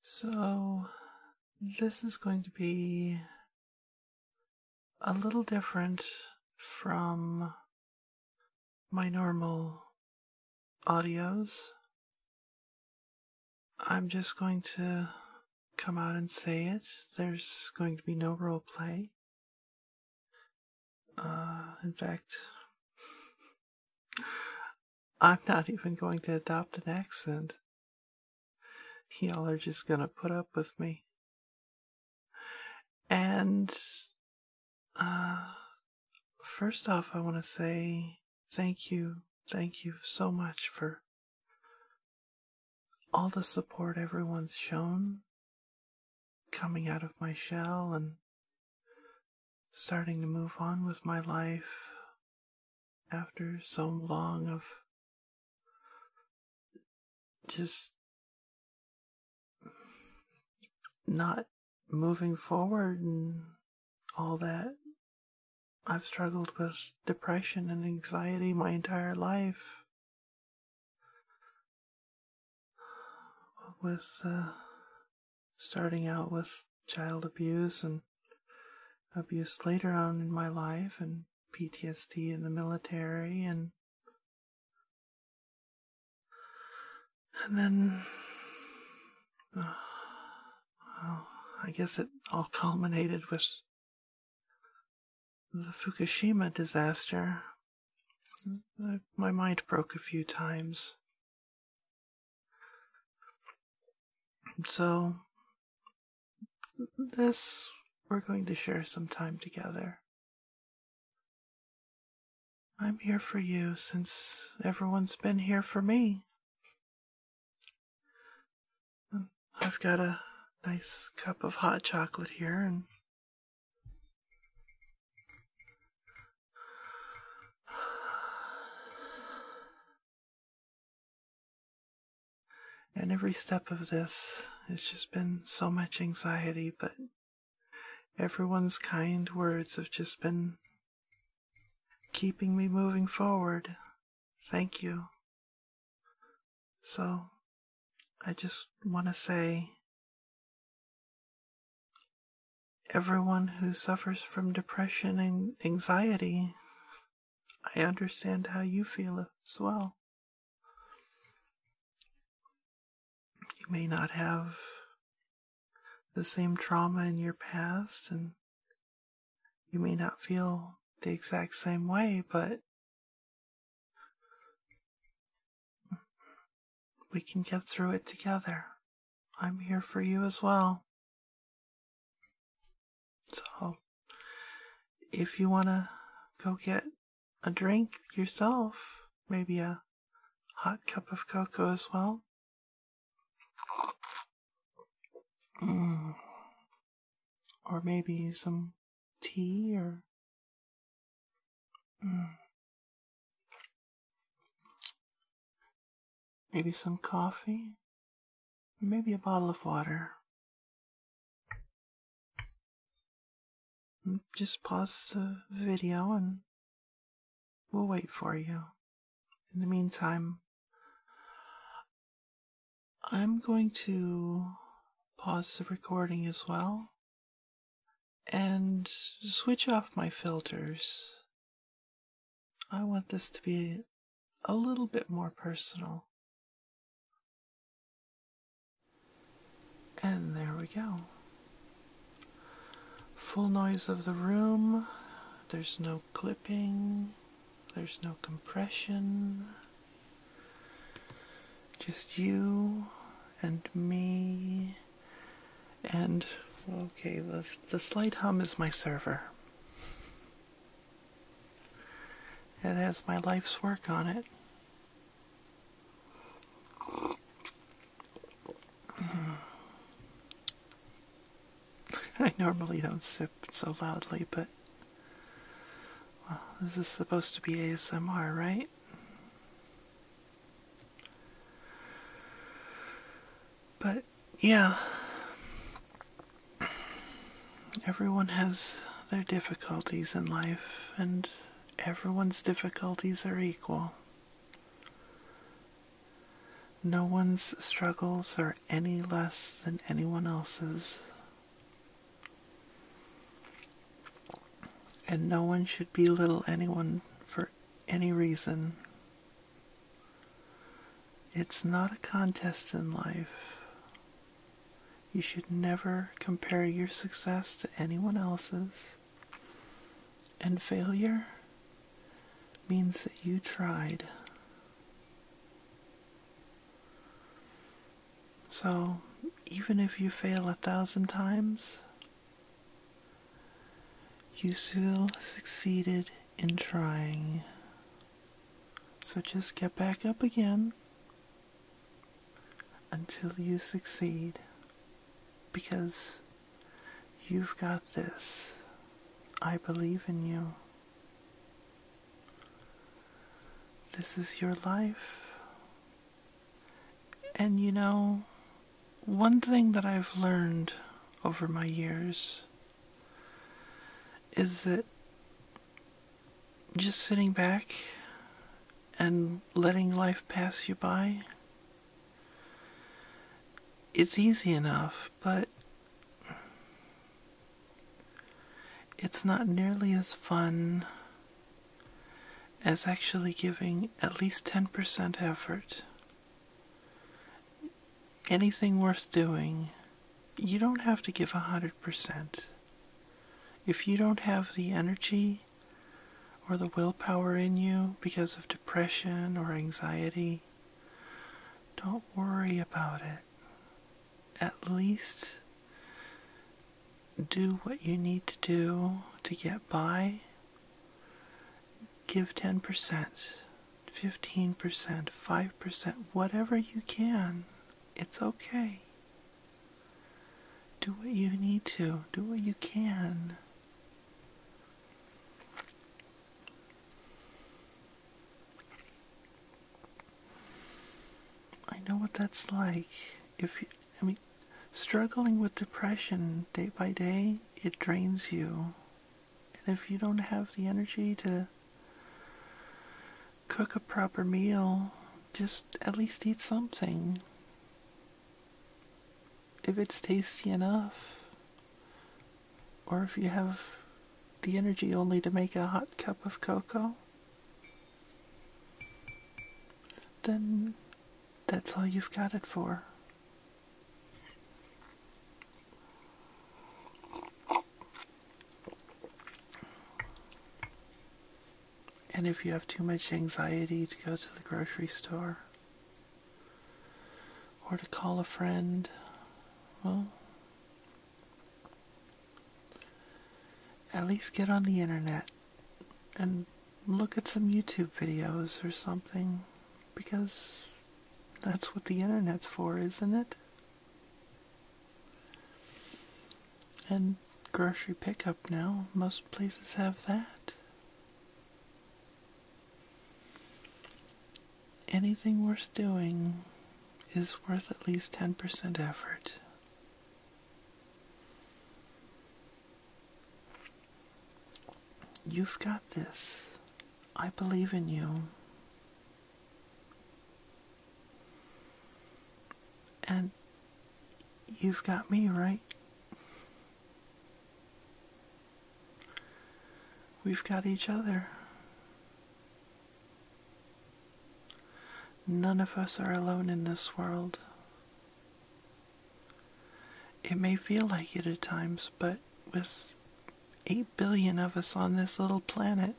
So, this is going to be a little different from my normal audios. I'm just going to come out and say it. There's going to be no role play. Uh, in fact, I'm not even going to adopt an accent. Y'all are just gonna put up with me. And, uh, first off, I want to say thank you, thank you so much for all the support everyone's shown coming out of my shell and starting to move on with my life after so long of just not moving forward and all that. I've struggled with depression and anxiety my entire life with uh, starting out with child abuse and abuse later on in my life and PTSD in the military and and then uh, well, I guess it all culminated with the Fukushima disaster my mind broke a few times. So, this we're going to share some time together. I'm here for you since everyone's been here for me. I've got a nice cup of hot chocolate here, and and every step of this has just been so much anxiety, but everyone's kind words have just been keeping me moving forward. Thank you. So, I just want to say everyone who suffers from depression and anxiety. I understand how you feel as well. You may not have the same trauma in your past, and you may not feel the exact same way, but we can get through it together. I'm here for you as well. So, if you want to go get a drink yourself, maybe a hot cup of cocoa as well. Mm. Or maybe some tea or Hmm. Maybe some coffee. Maybe a bottle of water. Hmm, just pause the video and we'll wait for you. In the meantime, I'm going to pause the recording as well and switch off my filters. I want this to be a little bit more personal. And there we go. Full noise of the room. There's no clipping. There's no compression. Just you and me and okay, the the slight hum is my server. It has my life's work on it. I normally don't sip so loudly, but well, this is supposed to be ASMR, right? But yeah, everyone has their difficulties in life, and everyone's difficulties are equal. No one's struggles are any less than anyone else's. And no one should belittle anyone for any reason. It's not a contest in life. You should never compare your success to anyone else's. And failure means that you tried. So, even if you fail a thousand times, you still succeeded in trying. So just get back up again until you succeed because you've got this. I believe in you. This is your life. And you know, one thing that I've learned over my years is that just sitting back and letting life pass you by, it's easy enough, but it's not nearly as fun as actually giving at least 10% effort. Anything worth doing, you don't have to give a 100%. If you don't have the energy or the willpower in you because of depression or anxiety, don't worry about it. At least do what you need to do to get by Give 10%, 15%, 5%, whatever you can. It's okay. Do what you need to, do what you can. I know what that's like. If I mean, struggling with depression day by day, it drains you. And if you don't have the energy to cook a proper meal, just at least eat something. If it's tasty enough, or if you have the energy only to make a hot cup of cocoa, then that's all you've got it for. And if you have too much anxiety to go to the grocery store or to call a friend, well, at least get on the internet and look at some YouTube videos or something because that's what the internet's for, isn't it? And grocery pickup now, most places have that. Anything worth doing is worth at least 10% effort. You've got this. I believe in you. And you've got me, right? We've got each other. None of us are alone in this world. It may feel like it at times, but with 8 billion of us on this little planet,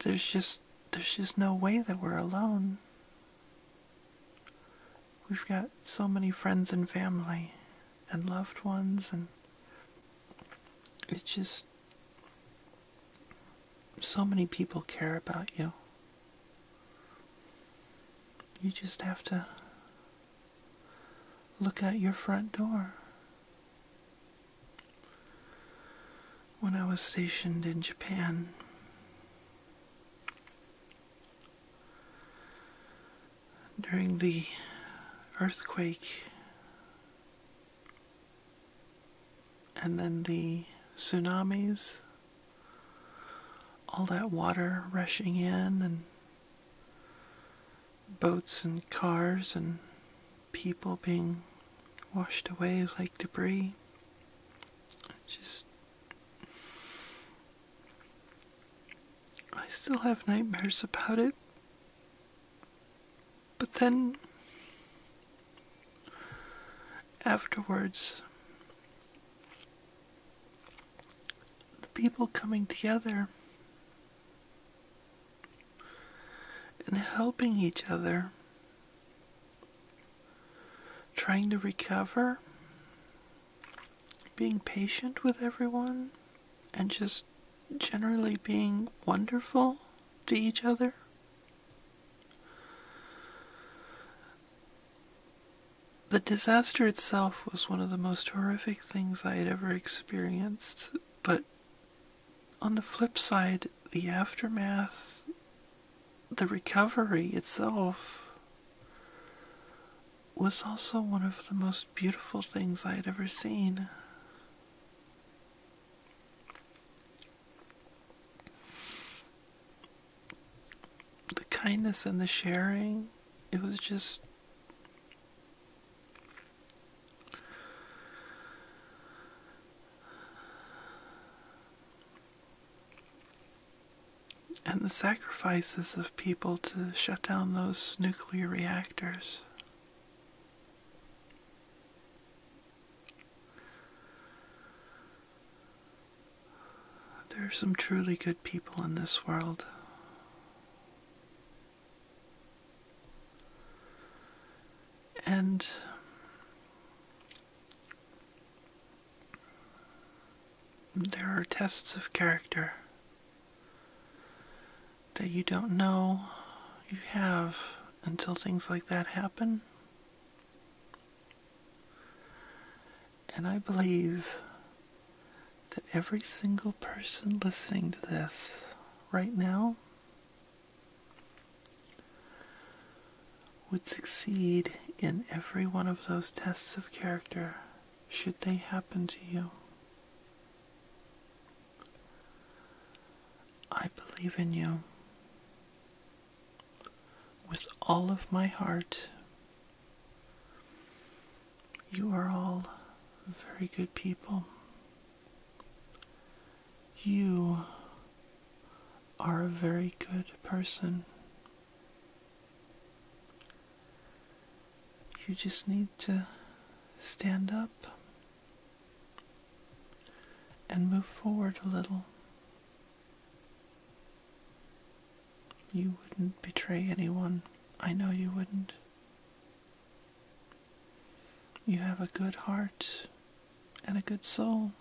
there's just there's just no way that we're alone. We've got so many friends and family and loved ones and it's just so many people care about you. You just have to look at your front door. When I was stationed in Japan, during the earthquake and then the tsunamis, all that water rushing in, and boats and cars and people being washed away like debris. just. I still have nightmares about it. But then Afterwards, the people coming together and helping each other, trying to recover, being patient with everyone, and just generally being wonderful to each other. The disaster itself was one of the most horrific things I had ever experienced, but on the flip side, the aftermath, the recovery itself, was also one of the most beautiful things I had ever seen the kindness and the sharing. It was just. And the sacrifices of people to shut down those nuclear reactors. There are some truly good people in this world. And there are tests of character that you don't know you have until things like that happen. And I believe that every single person listening to this right now would succeed in every one of those tests of character should they happen to you. I believe in you with all of my heart. You are all very good people. You are a very good person. You just need to stand up and move forward a little. You wouldn't betray anyone. I know you wouldn't. You have a good heart and a good soul.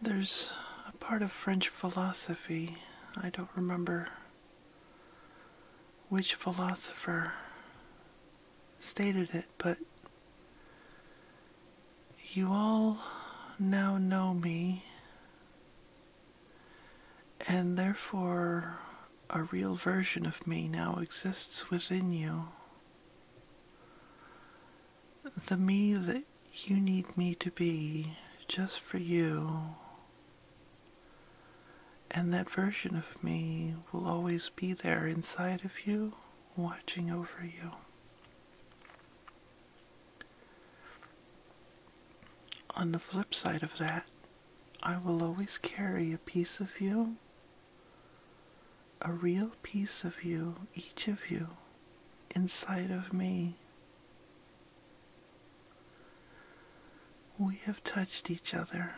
There's a part of French philosophy, I don't remember which philosopher stated it, but you all now know me, and therefore a real version of me now exists within you the me that you need me to be just for you. And that version of me will always be there inside of you, watching over you. On the flip side of that, I will always carry a piece of you, a real piece of you, each of you, inside of me. We have touched each other.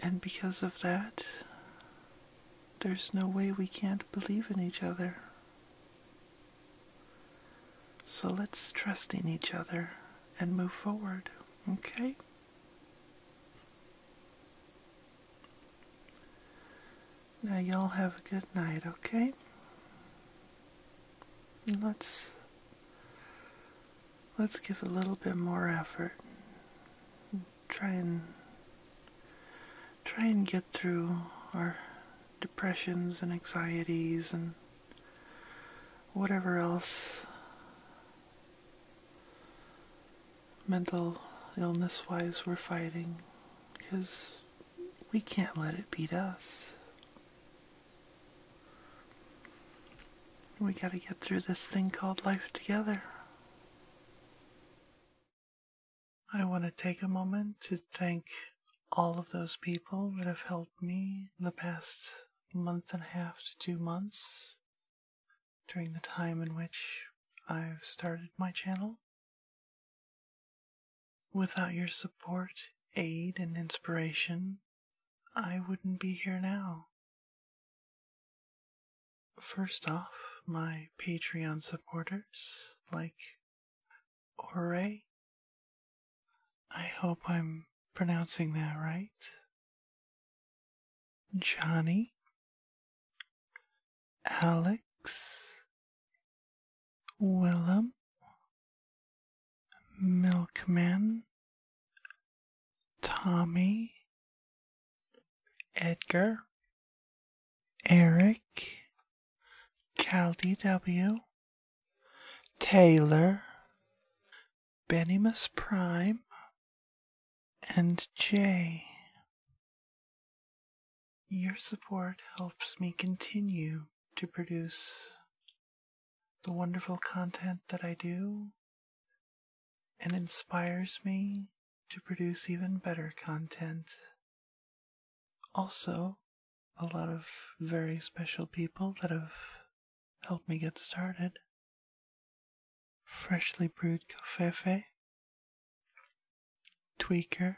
And because of that, there's no way we can't believe in each other. So let's trust in each other and move forward, okay? Now, y'all have a good night, okay? let's let's give a little bit more effort. Try and try and get through our depressions and anxieties and whatever else mental illness wise we're fighting because we can't let it beat us. We got to get through this thing called life together. I want to take a moment to thank all of those people that have helped me in the past month and a half to two months during the time in which I've started my channel. Without your support, aid, and inspiration, I wouldn't be here now. First off, my Patreon supporters, like Ore. I hope I'm pronouncing that right. Johnny, Alex, Willem, Milkman, Tommy, Edgar, Eric, Caldy W, Taylor, Benimus Prime, and J. Your support helps me continue to produce the wonderful content that I do and inspires me to produce even better content. Also, a lot of very special people that have helped me get started freshly brewed covfefe, tweaker,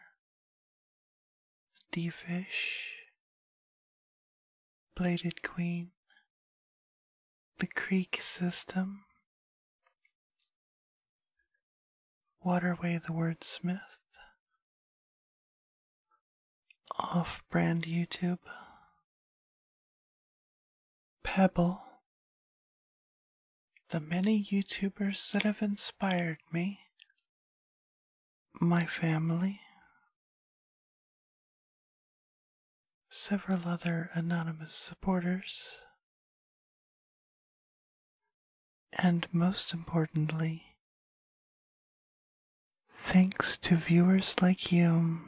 fish. bladed queen, the creek system, waterway the wordsmith, off brand YouTube, Pebble. The many YouTubers that have inspired me, my family, several other anonymous supporters, and most importantly, thanks to viewers like you,